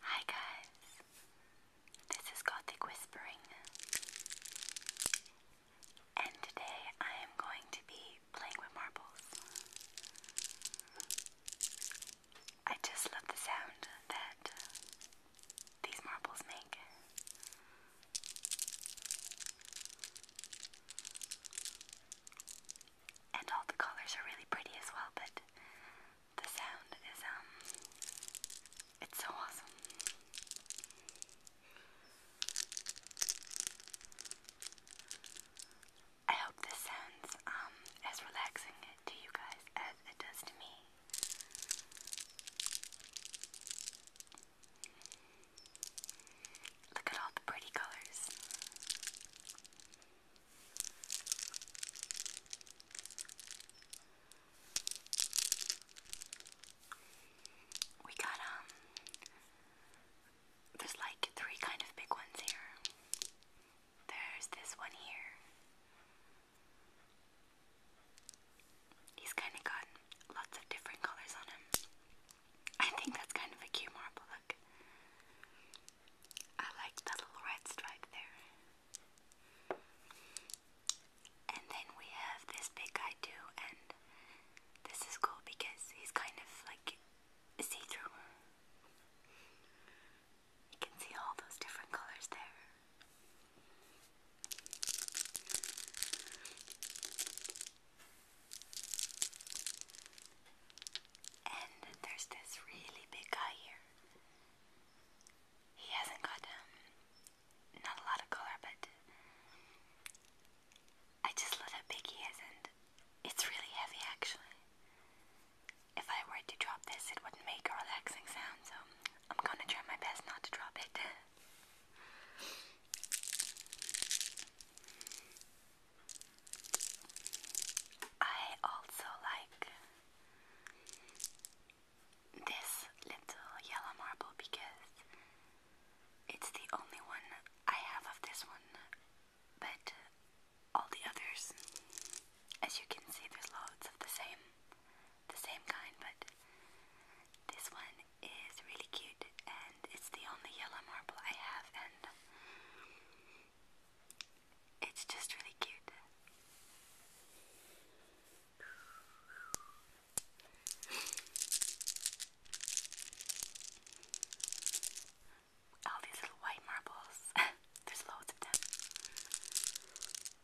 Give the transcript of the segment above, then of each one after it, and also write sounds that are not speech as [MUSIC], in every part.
Hi guys, this is Gothic Whispering, and today I am going to be playing with marbles. I just love the sound that these marbles make. And all the colors are really pretty as well, but the sound is, um, it's so awesome. I hope this sounds, um, as relaxing to you guys as it does to me. Look at all the pretty colors. We got, um, there's like three kind of big ones here. There's this one here. He's kind of got lots of different colors on him. I think that's kind of a cute marble look. I like that little red stripe there. And then we have this big guy too, and this is cool because he's kind of like see through. You can see all those different colors there. And there's this really big guy here. He hasn't got um not a lot of color, but I just love how big he is, and it's really heavy actually. If I were to drop this, it wouldn't make a relaxing sound, so I'm gonna try my best not to drop it. I also like this little yellow marble because it's the only one I have of this one, but all the others, as you can see, there's loads of the same the same kind, but this one is really cute and it's the only yellow marble I have and it's just really cute. All these little white marbles. [LAUGHS] There's loads of them.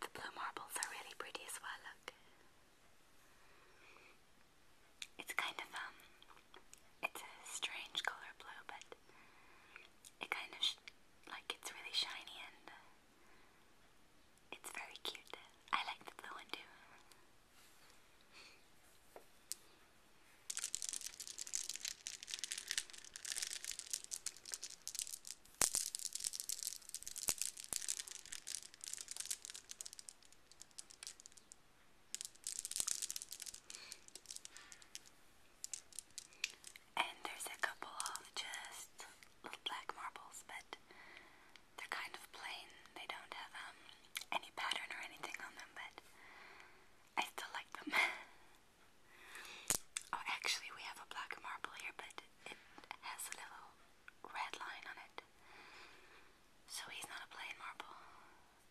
The blue marbles are really pretty as well, look. It's kind of, um, it's a strange color blue, but it kind of, like, it's really shiny and uh, it's very cute. I like the blue one too. And there's a couple of just little black marbles, but they're kind of plain. They don't have um, any pattern or anything on them, but I still like them. [LAUGHS] Oh, actually, we have a black marble here, but it has a little red line on it. So he's not a plain marble.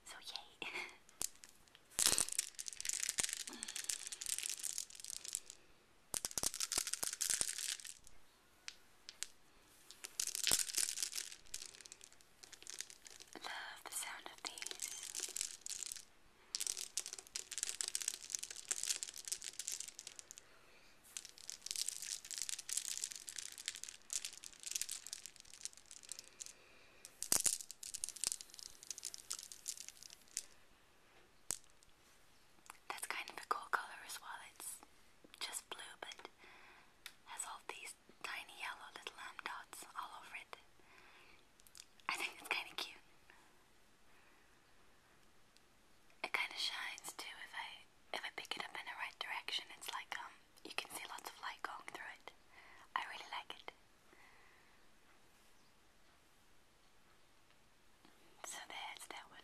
So, yay! [LAUGHS] Love the sound of these. That's kind of a cool color as well. It's just blue, but has all these tiny yellow little lamb dots all over it. I think it's kind of cute. It kind of shines too if I if I pick it up in the right direction. It's like um you can see lots of light going through it. I really like it. So there's that one.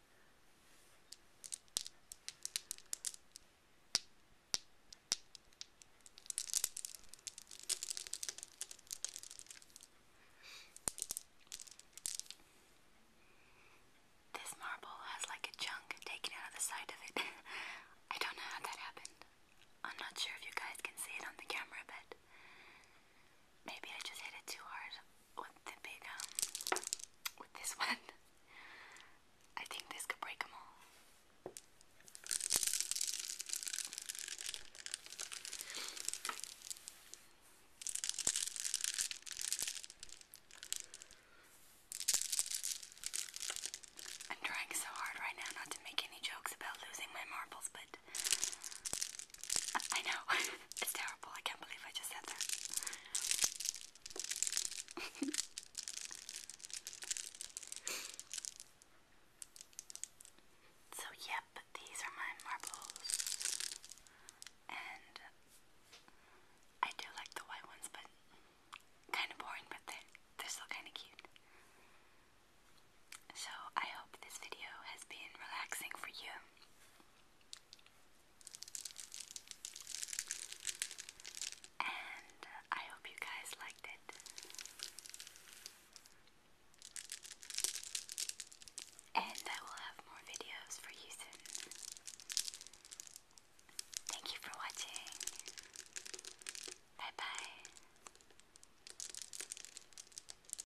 This marble has like a chunk taken out of the side of it. [LAUGHS] I don't know how that happened. I'm not sure if you guys can see it on the camera, but maybe I just hit it too hard with the big um with this one. I think this could break them all. I'm trying so hard right now not to make any jokes about losing my marbles, but I know, [LAUGHS] it's terrible. I can't believe I just said that. [LAUGHS] so, yep, these are my marbles. And I do like the white ones, but kind of boring, but they they're still kind of cute. So, I hope this video has been relaxing for you. And I hope you guys liked it. And I will have more videos for you soon. Thank you for watching. Bye bye.